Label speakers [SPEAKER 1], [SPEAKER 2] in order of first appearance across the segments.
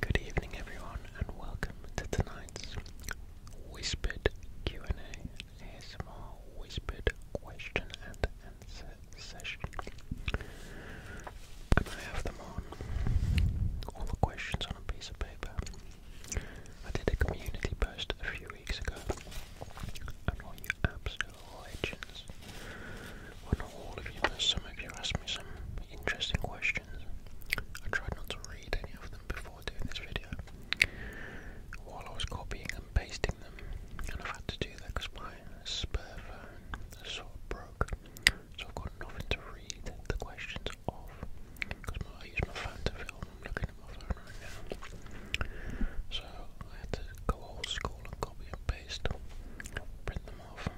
[SPEAKER 1] Good evening everyone and welcome to tonight's Whispered Q&A ASMR Whispered Question and Answer session. I have them on, all the questions on a piece of paper. I did a community post a few weeks ago and all you absolute legends, well not all of you some of you asked me some interesting questions I tried not to read any of them before doing this video while I was copying and pasting them, and I've had to do that because my spare phone sort of broke, so I've got nothing to read the questions off because I use my phone to film. I'm looking at my phone right now, so I had to go old school and copy and paste, print them off.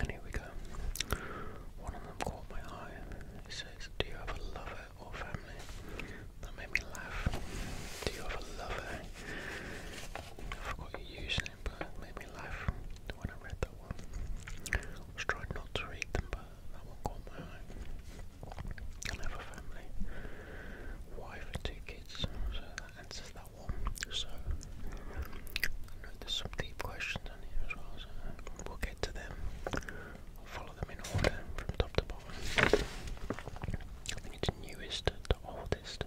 [SPEAKER 1] And here we go. One of them caught my eye. It says, Do you have a lover or family? That made me laugh. Do you have a lover? I forgot your username, but made me laugh when I read that one. was trying not to read them, but that one caught my eye. I have a family. Wife and two kids, that answers that one. So, there's some deep questions on here as well, so we'll get to them. follow them in order from top to bottom. I think newest to oldest.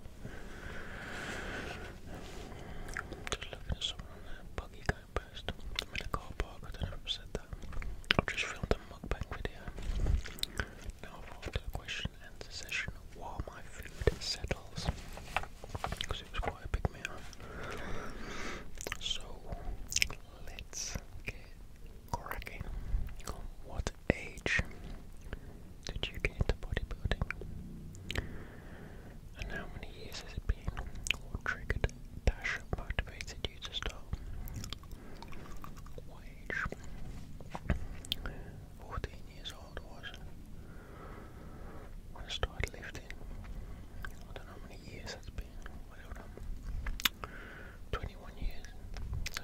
[SPEAKER 1] Just looking at someone buggy guy post. in a car park, I not know if i just filmed a mukbang video. Now I've question and session while my food settles. So let's get cracking. What age did you get into bodybuilding? And how many years has it been? What triggered dash motivated you to start? What age? 14 years old was I started lifting. I don't know how many years that's been. 21 years. So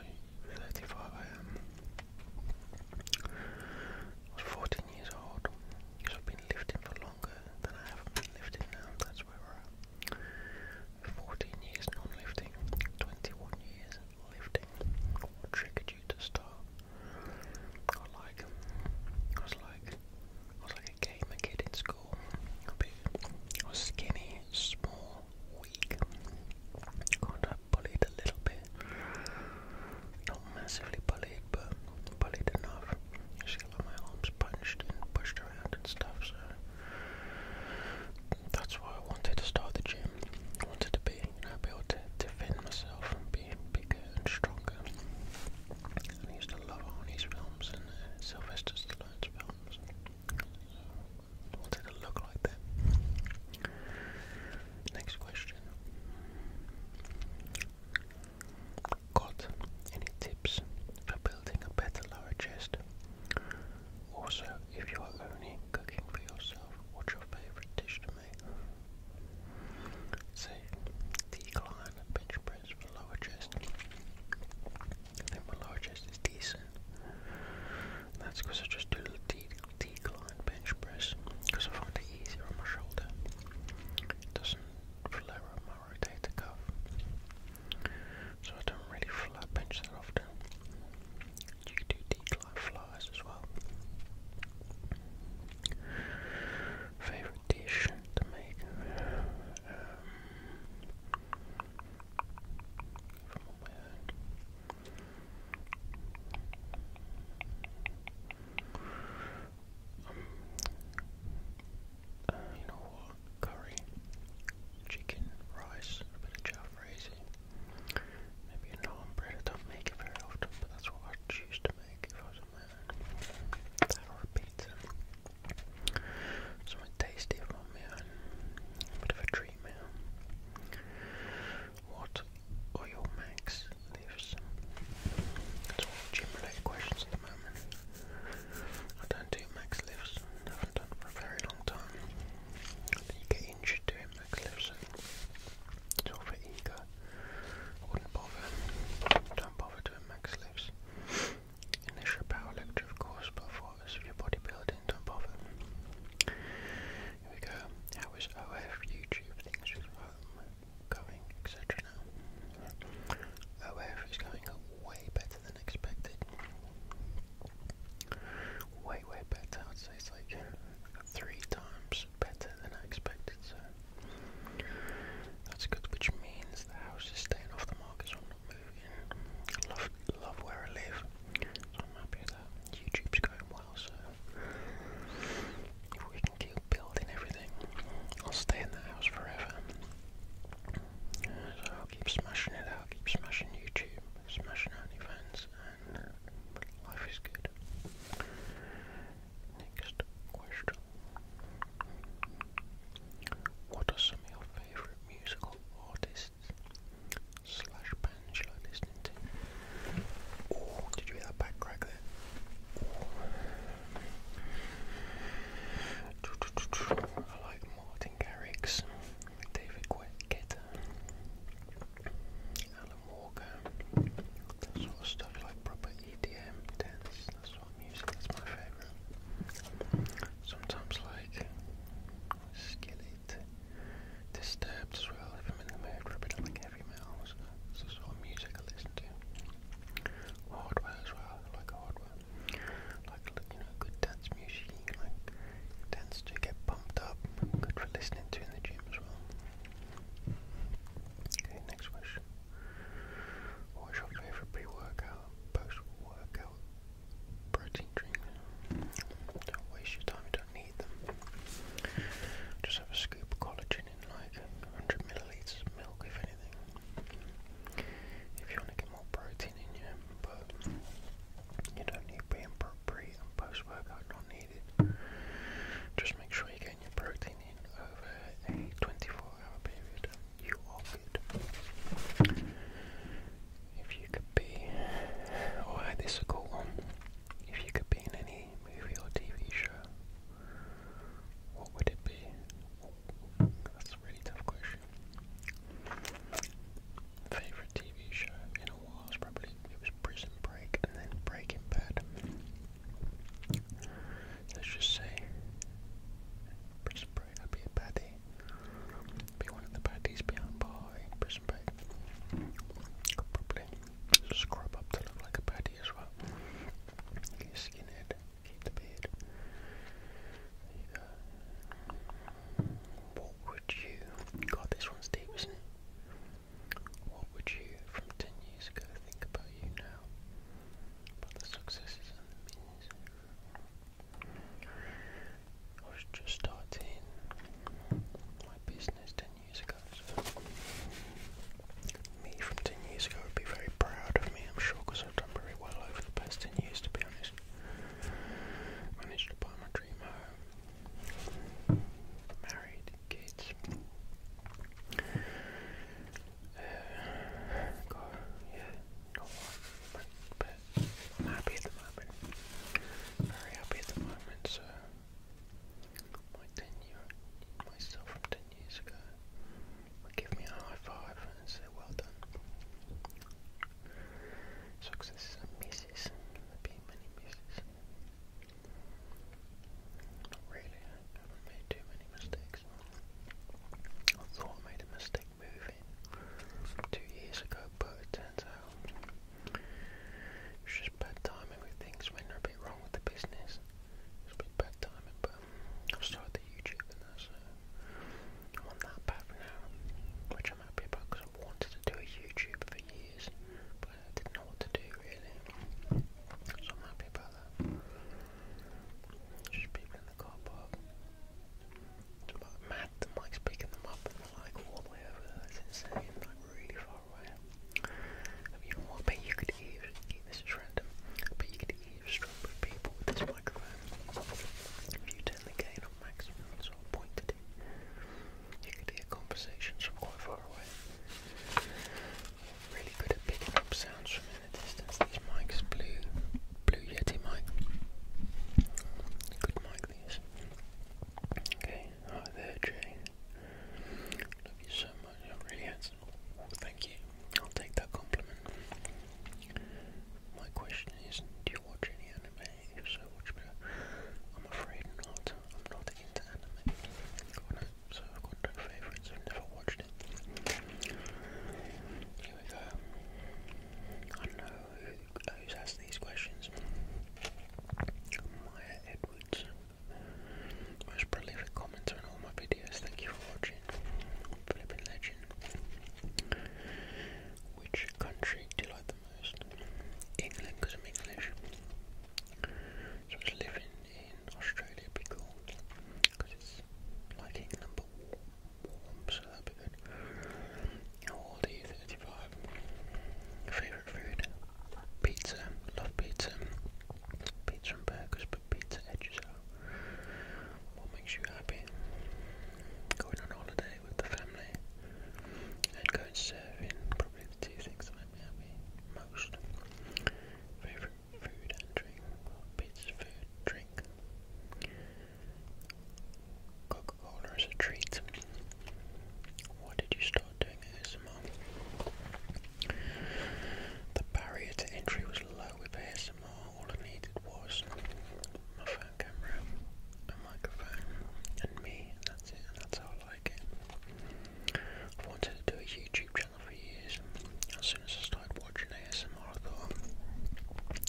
[SPEAKER 1] 35 I am. I was 14 years old. So I've been lifting for longer than I have been lifting now. That's where we're at. 14 years non-lifting. 21 years lifting. What triggered you to start? I was like, I was like, I was like a gamer kid in school. I was skinny, small, weak. Kind of bullied a little bit. Not massively bullied, but bullied enough. my arms punched and pushed around and stuff. So that's why I wanted to start the gym. I wanted to be I'll be able to defend myself and be bigger and stronger. I used to love Arnie's films and uh, Sylvester Stallone's films. I wanted to look like that. Next question. Got any tips for building a better lower chest? Also, if you are only cooking for yourself, what's your favourite dish to So, decline, bench press for lower chest. I my lower chest is decent. That's because I just do the decline bench press because I find it easier on my shoulder. doesn't flare up my rotator cuff. So I don't really flat bench that often. You do decline flies as well. Favorite dish to make uh, um, um, you know what? Curry, chicken, rice, a bit of java raising, maybe a naan bread. I don't make it very often, but that's what I choose to make Something tasty for my A bit of a treat meal. What oil makes leaves? It's all gym questions at the moment. I don't do max lifts. haven't done for a very long time. I you get injured doing max lifts. It's all for ego. I wouldn't Don't bother doing max lifts. Initial power lecture, of course, but for us, if bodybuilding, don't bother. Here we go. How is OF, YouTube, things with home, going, etc. now? OF is going way better than expected. Way, way better. I'd say like three times better than I expected, so that's good, which means the house is staying off the market, so I'm not moving. I love, love where I live, I'm happy with YouTube's going well, so if we can keep building everything, I'll stay in that house forever. So I'll keep smashing it out, keep smashing YouTube, smashing OnlyFans, and life is good. Next question. What are some of your favorite musical artists slash bands you like listening to? Oh, did you hear that back there? I like Martin Garrix, David Guetta, Walker, that sort of stuff, like proper EDM dance, that's sort of music, that's my favourite. Sometimes like Skillet, Disturbed as well, if I'm in the mood for a bit of like heavy metal, so that's the sort of music I listen to. Hardware as well, I like hardware. Like, you know, good dance music, like dance to get pumped up, good for listening to in the gym as well. Okay, next wish. What's your favorite pre-workout, post-workout protein drink? Don't waste your time, you don't need them. Just have a scoop of collagen in like 100 milliliters of milk, if anything. If you want to get more protein in you, but you don't need being pre and post-workout not needed. Just make sure you get if you could be, oh, this is a cool one, if you could be in any movie or TV show, what would it be? That's a really tough question. Favorite TV show in a while was probably it was Prison Break and then Breaking Bad. Let's just say, Prison Break be a baddie. Be one of the baddies behind bar in probably scrub up to look like a baddie as well. skinhead, keep the beard. What would you. God, this one's deep, what would you, from 10 years ago, think about you now? About the successes and the means? I was just starting my business 10 years ago, so me from 10 years ago would be very proud of me, I'm sure, because I've done very well over the past 10 years, to be honest. Managed to buy my dream home, married, gates. Uh, yeah, no one, but I'm happy at the moment. Very happy at the moment, so my 10 year, myself from 10 years ago give me a high five and say well done. Success and misses, there have been many misses. Not really, I haven't made too many mistakes. I thought I made a mistake moving two years ago, but it turns out it's just bad timing with things when they a bit wrong with the business. It's a bit bad timing, but i started the YouTube and that, on that path now, which I'm happy about because i wanted to do a YouTube for years, didn't know what to do really. So I'm happy about that. Just people in the car park. But mad that Mike's picking them up like all the way over That's insane. Like really far away. I you know what? I you could eavesdrop. This is random. But you could eavesdrop with people with this microphone. If you turn the gain on maximum, sort pointed You could hear conversations from quite far away really good at picking up sounds from in distance. These mics, blue, blue Yeti mic, good mic these. Okay, hi there, Jay. Love you so much. You're really handsome. Thank you. I'll take that compliment. My question is, do you watch any anime? If so, which I'm afraid not. I'm not into anime so I've got no favourites, I've never watched it. Here I know who, who's asked these questions. Maya Edwards, most prolific commenter on all my videos, thank you for watching. Flippin' legend. Which country do you like the most? England, because I'm English. So I was living in Australia would be cool because it's like England but warm, so that'd be good. Aldi 35. Favourite food? Pizza. Love pizza. Pizza and burgers, but pizza edges out. What makes you happy? Going on holiday with the family and going surfing, probably the two things I Miami most. Favorite food and drink, pizza, food, drink. Coca-Cola is a treat. Why did you start doing ASMR? The barrier to entry was low with ASMR. All I needed was my phone camera, a microphone, and me, that's it, that's all I I've wanted to do a YouTube channel for years. As soon as I started watching ASMR, I thought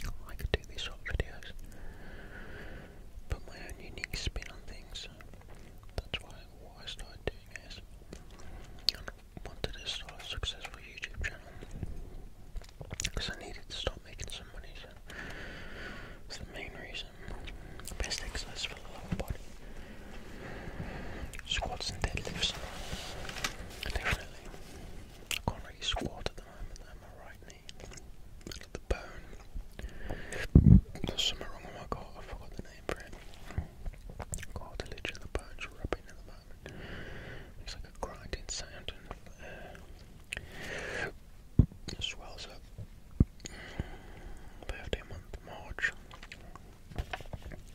[SPEAKER 1] oh, I could do these sort of videos. Put my own unique spin on things. That's why I started doing ASMR. And wanted to start a successful YouTube channel because I needed to start making some money. So that's the main reason. Best exercise Squats and deadlifts. Definitely. can't really squat at the moment, My right knee, middle of the bone. something wrong with my car, I forgot the name for it. Cartilage in the bone's rubbing at the moment. It's like a grinding sound and swells up. Birthday month, March.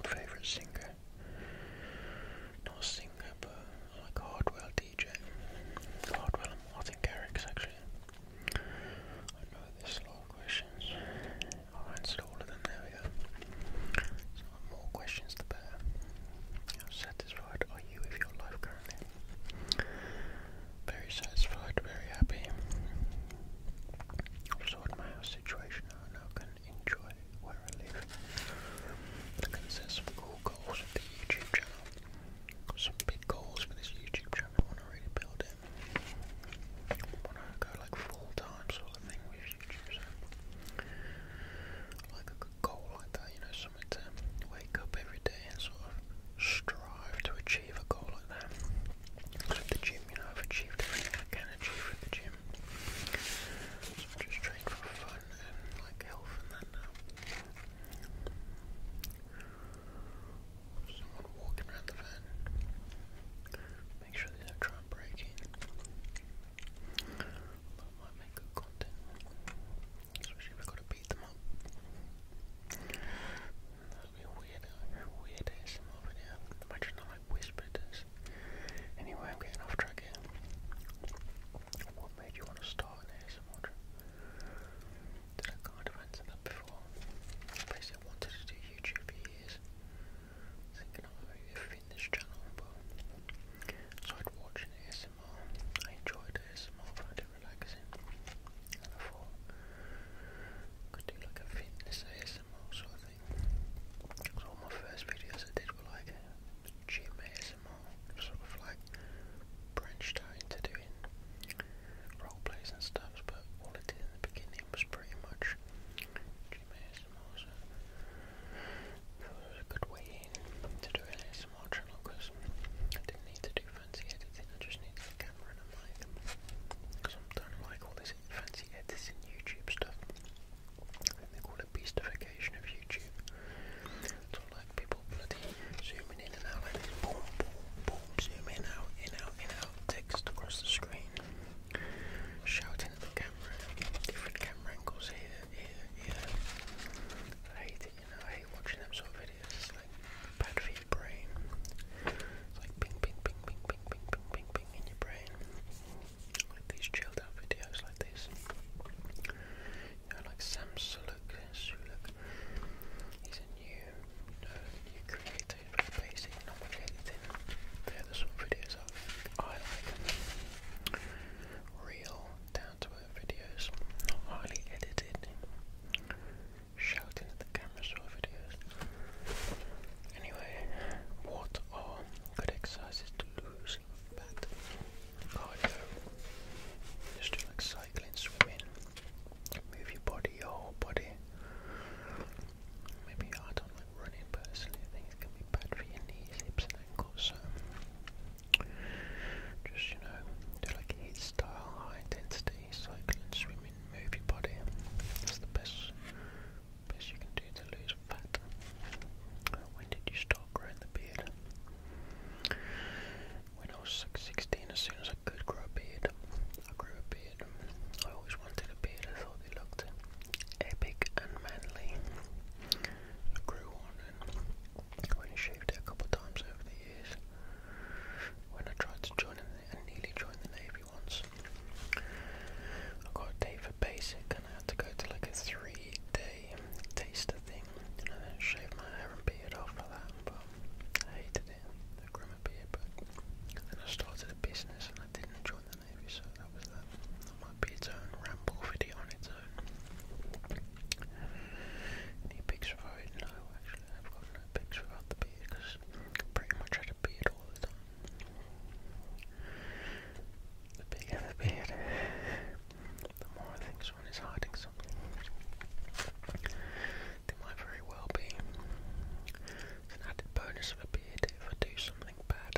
[SPEAKER 1] Favorite singer? Not singer, but like Hardwell DJ. Hardwell Martin Garrix, actually. I know there's a lot of questions. i answer all of them. There we go. So more questions, the better. How satisfied are you with your life currently? Very satisfied, very happy sort my house situation out and can enjoy where I live. I can set some cool goals for the YouTube channel. Some big goals for this YouTube channel. I want to really build it. I want to go like full time sort of thing like a goal like that, you know, something to wake up every day and sort of strive to achieve achieve a goal like that. at the gym, you know, I've achieved everything I can achieve at the gym. just training for fun and like health and that now. Someone walking around the van. Make sure they don't try and break in. That might make good content. Especially if i got to beat them up must weird, weird ASMR Imagine I like whispered Anyway, I'm getting off track here. What made you want to start ASMR? Did I kind of answer that before? Basically, wanted to do YouTube for years. Thinking of in this channel, but started watching ASMR. I enjoyed ASMR, found relaxing. And I thought, could do like a fitness ASMR sort of thing. Because all my first videos I did were like gym ASMR, sort of like branched out into doing role plays and stuff, but all I in the beginning was pretty much gym ASMR, so it was a good way to do an ASMR channel because I didn't need to do fancy editing, I just needed the camera and a mic. Because I'm done like all this guys fancy editing YouTube stuff. they call it beastification of YouTube. It's all like people zooming in and out like this. Boom, boom, boom, out, in, out, out. Text across the screen. Shouting at the camera. Different camera angles here, here, here. I hate it, you know. I hate watching them sort of videos. It's like bad for your brain. It's like ping, ping, ping, ping, ping, ping, ping, ping, ping in your brain. Like these chilled out videos like this. You know, like Sam Suluk, Suluk. He's a new, new creator, basically not much editing. They're the videos I like. Real, down to earth videos, not highly edited shouting at the camera, so videos. Anyway, what are good exercises to lose fat? Cardio. Just do like cycling, swimming, move your body, your whole body. Maybe I don't like running personally, I think it can be bad for your knees, hips and ankles, so just you know, do like a style, high intensity, cycling, swimming move your body. That's the best, best you can do to lose fat. When did you start growing the beard? When I was 16, as soon as I could grow a beard, I grew a beard. I always wanted a beard. I thought they looked epic and manly. I grew one and I only shaved it a couple of times over the years. When I tried to join and nearly joined the Navy, maybe once. I got a date for basic and I had to go to like a three day taster thing and I then shaved my hair and beard off for that but I hated it, the grimmer beard but then I started a business and I didn't join the Navy so that was that. That might be its own ramble video on its own. Any pics of it? No actually I've got no pics without the beard because pretty much had a beard all the time. The bigger the beard, the more I think someone is hiding something. They might very well be. It's an added bonus of a beard if I do something bad.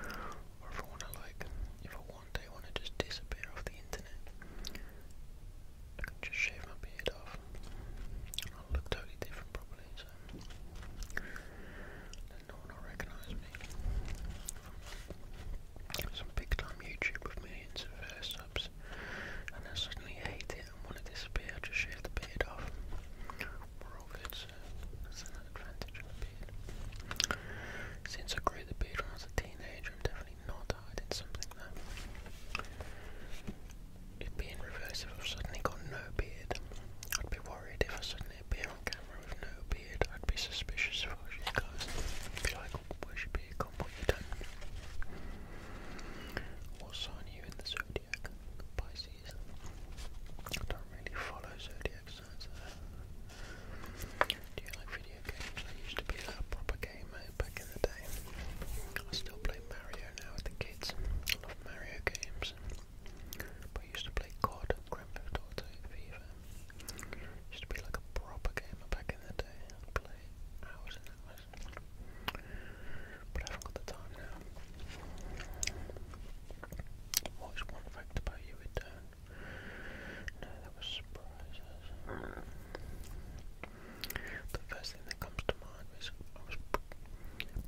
[SPEAKER 1] Or if I wanna like, if one day wanna just disappear off the internet, just shave my beard off. I'll look totally different probably, so then no one will recognise me some big time YouTube with millions of uh, subs and then suddenly hate it and want to disappear, I just shave the beard off. We're all good, that's an advantage of a beard. Since I grew the beard when I was a teenager, I'm definitely not hiding something it reverse if i suddenly got no beard. I'd be worried if I suddenly appear on camera with no beard. I'd be suspicious of what she's like, oh, where's beard gone? What you done? What sign are you in the zodiac? Pisces. I don't really follow zodiac signs. Uh, do you like video games? I used to be a proper gamer back in the day. I still play Mario now with the kids of Mario games, I used to play COD, Grand Theft Auto, FIFA. used to be like a proper gamer back in the day. play hours and hours, but I haven't got the time now. What is one fact about you, Return? No, that was surprises. The first thing that comes to mind was I was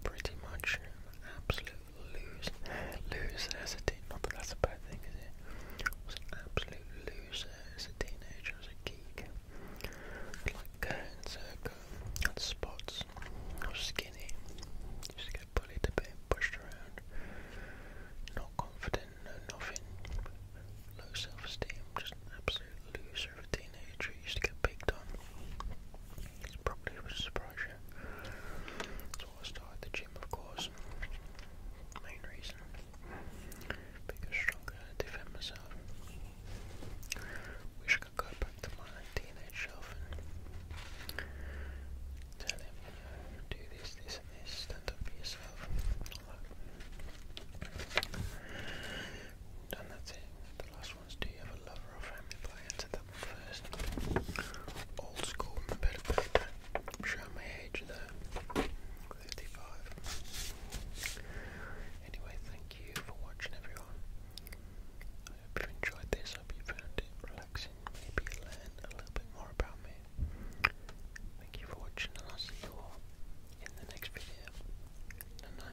[SPEAKER 1] pretty much an absolute loser. Loser as a teen. Not that that's a bad thing, is it? I was an absolute loser as a teenager. I was a geek. Like curtains, I had spots. I was skinny. Used to get bullied a bit, pushed around. Not confident, no nothing. Low self-esteem, just an absolute loser as a teenager, he used to get picked on. It probably was a surprise, yeah. So I started the gym, of course. Main reason, because stronger, defend myself. Wish I could go back to my teenage self and tell him, you know, do this, this, and this, stand up for yourself. And that. And The last do you have a lover or family? But I answered that Old school, bit of paper. am showing my age there. 35. Anyway, thank you for watching, everyone. I hope you enjoyed this. I hope you found it relaxing. Maybe learned a little bit more about me. Thank you for watching, and I'll see you all in the next video. Night